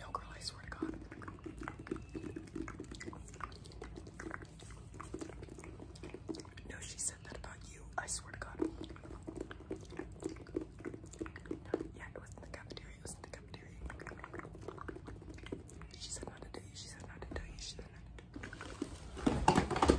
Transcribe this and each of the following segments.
No girl, I swear to God. No, she said that about you. I swear to God. Yeah, it was the cafeteria. It was the cafeteria. She said not to do you. She said not to do you. She said not to do you.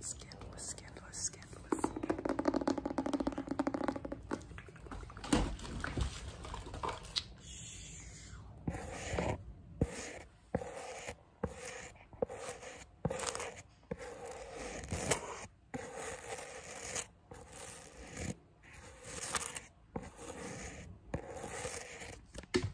Scandalous, scandalous, scandalous.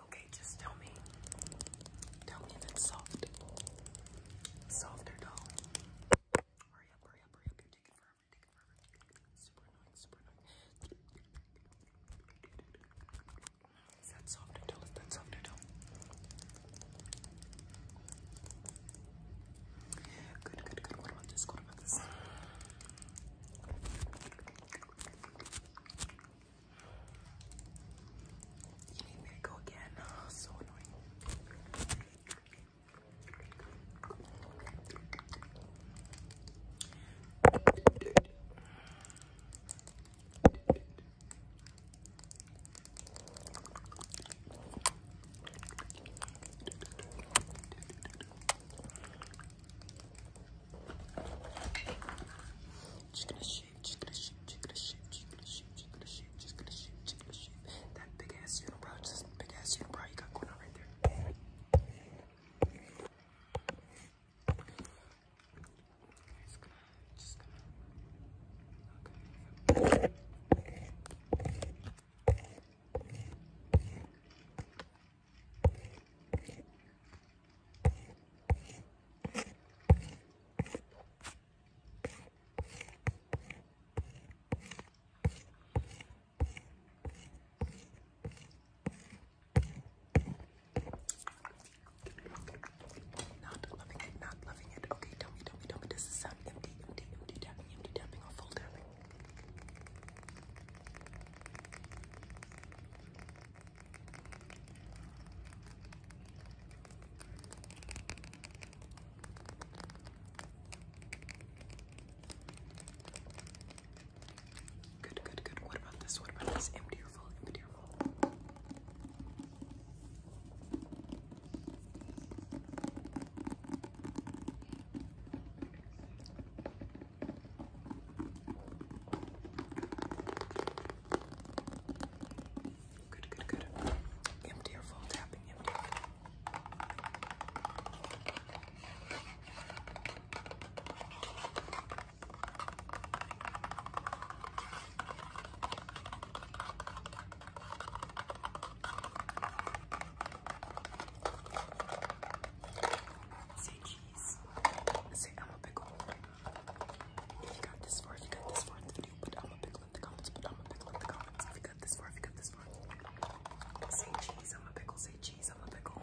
Okay, just tell me. Tell me if it's soft. Soft or Hurry up, hurry up, hurry up. You're taking forever, taking forever. Super annoying, super annoying. Is soft or dull? Is soft or dull? Good, good, good. What about this? about this? You need me to go again. Oh, so annoying. Just gonna She's gonna shit, she's gonna shit, she's gonna shit, she's gonna shit, she's gonna shit, she's gonna shit. That big ass unibrow, just big ass unibrow you got going on right there. Just gonna, just gonna, okay. Okay, not loving it, not loving it. Okay, tell me, tell me, tell me. empty, empty, empty tapping, empty tapping, or full tapping? Good, good, good. What about this? What about this? Empty or full? Empty or full? Good, good, good. Empty or full tapping, empty. Say cheese. Say I'm a pickle. If you got this far, you got this far in the video, put I'm a pickle in the comments, put I'm a pickle in the comments. If you got this far, if you got this far. Say cheese, I'm a pickle, say cheese, I'm a pickle.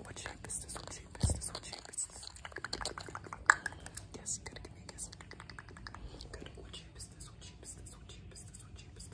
What shape is this? What shape is this? What shape is this? Yes, gotta give me a guess. Good. What shape is this? What shape is this? What shape is this? What shape is this?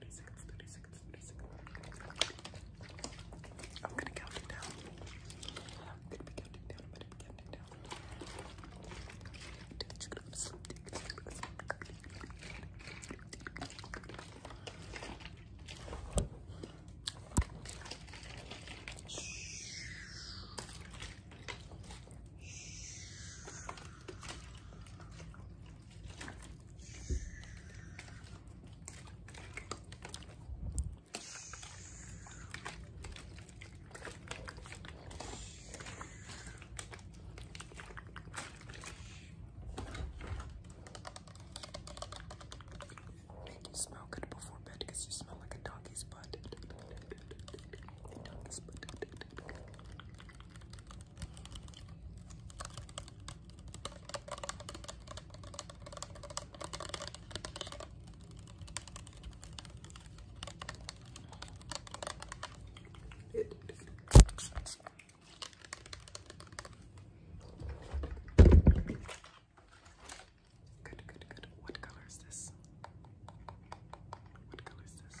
30 seconds, I'm gonna count down. I'm gonna be down, I'm gonna be down. Take a of sleep, Make you smell good before bed you smell like A doggy's butt. Good, good, good. What color is this? What color is this?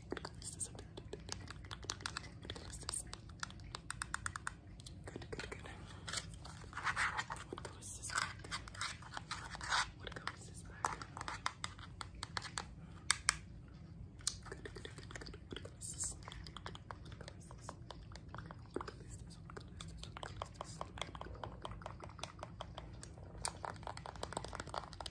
This is a bit. What this? Good, good, good. What goes this back? What goes this back? Good, good, good, good. What goes this? What goes this? What goes this? What goes this? What goes this? What goes this?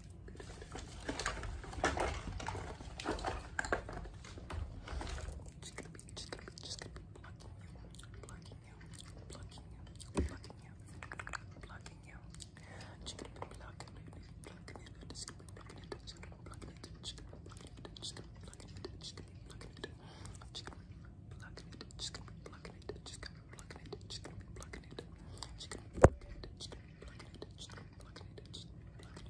Just gonna be, just gonna be, just gonna be blocking you, blocking you, blocking you, blocking you, blocking you. Just gonna be blocking you, blocking you, just gonna be blocking it, just gonna be blocking it, just gonna be blocking it, just gonna be blocking it, just gonna be blocking it, just gonna be blocking it, just gonna be blocking it, just gonna be blocking it, just gonna be blocking it, just gonna be blocking it, just gonna be blocking it, just gonna be blocking it, just gonna be blocking it.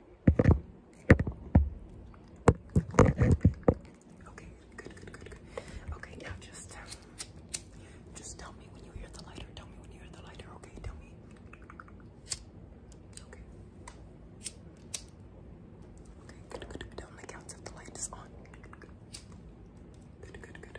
Okay, good, good, good, Okay, now just um, just tell me when you hear the lighter. Tell me when you hear the lighter. Okay, tell me. Okay. Okay, good, good, good. On the the light is on. Good, good, good. Good, good, good.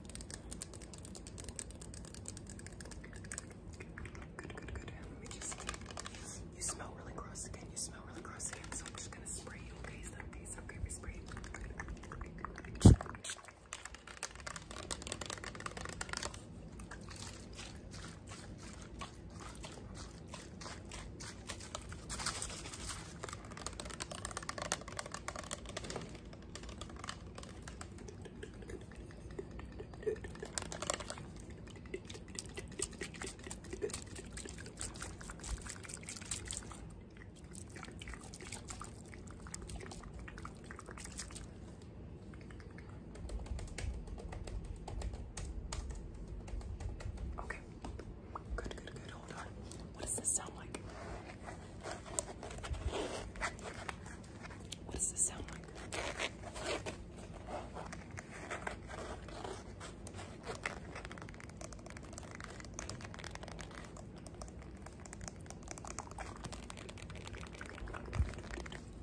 Good, good, good. Let me just. You smell really gross again. You smell really gross again. So I'm just gonna spray you. Okay, is that okay? We spray. Okay. Good, good, good. Hold on. What does this sound like? What does this sound like?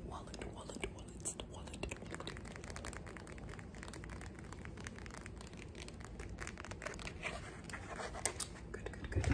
wallet, wallet, wallet, wallet. Good, good, good.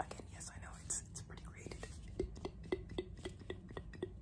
Again, yes, I know it's it's pretty rated.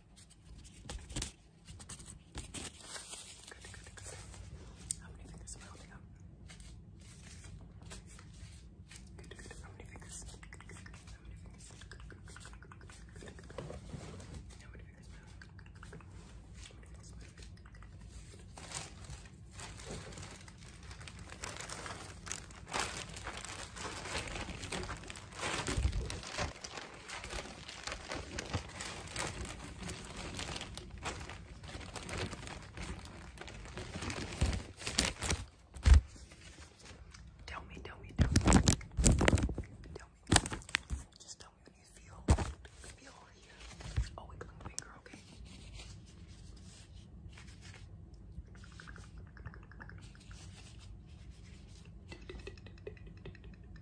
Good, good, good. How many fingers am I holding up? Good, good. How many fingers? Good, good, good. How many fingers? Good, good, good, good, good, good, good, good, good. How many fingers? Good, good, good, good, good. How many fingers? Good, good, good, good, good. Tell me, tell me, tell me. Tell me. Just tell me when you feel. Feel here. Oh, wiggling finger, okay.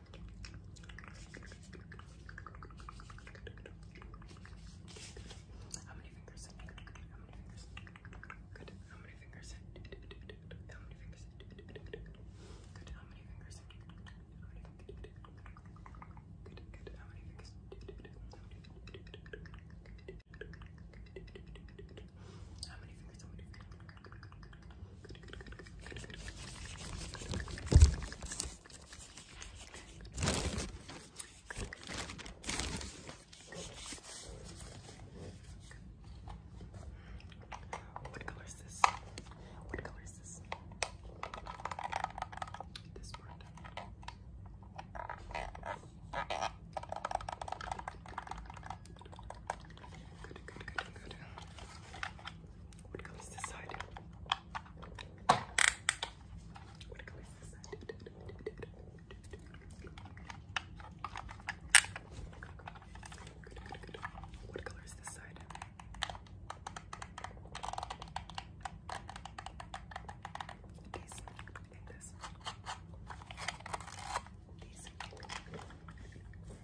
How many fingers? How many fingers? Good. How many fingers? How many fingers? Good. How many fingers? Good. Good. How many fingers? How many fingers? How many fingers? What color is this? What color is this? This part. Good, good, good, good. What it comes this side. When it comes this side. What color is this side?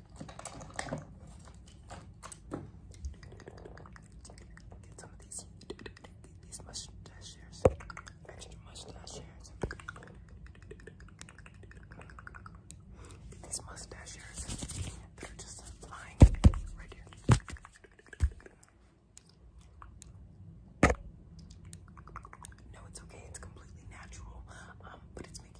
Get some of these, these mustaches, extra mustaches. Get these mustaches that are just lying right here. No, it's okay. It's completely natural, um, but it's making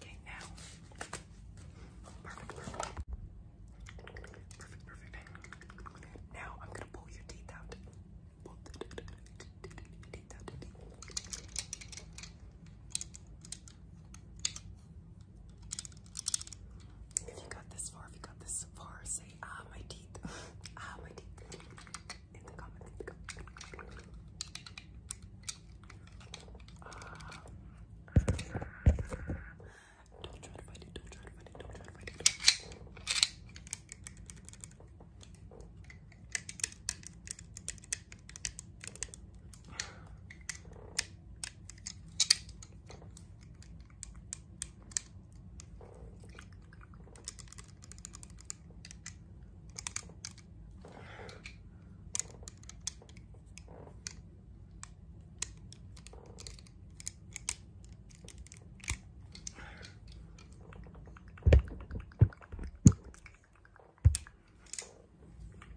Okay, now. Perfect, perfect. Now I'm gonna pull your teeth out. If you got this far, if you got this far, say ah my teeth, ah my teeth In the comments. Don't try to fight it, don't try to fight it, don't try to fight it. Good, good,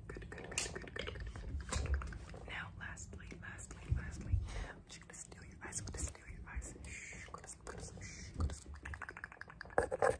good, good, good, good. Now, lastly, lastly, lastly, I'm just gonna steal your eyes. I'm gonna steal your eyes. Shh, go to sleep, go to sleep, shh, go to sleep.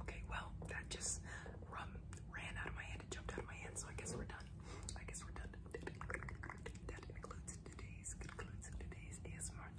Okay, well, that just rum ran out of my hand. It jumped out of my hand, so I guess we're done. I guess we're done. That includes today's concludes today's ASMR.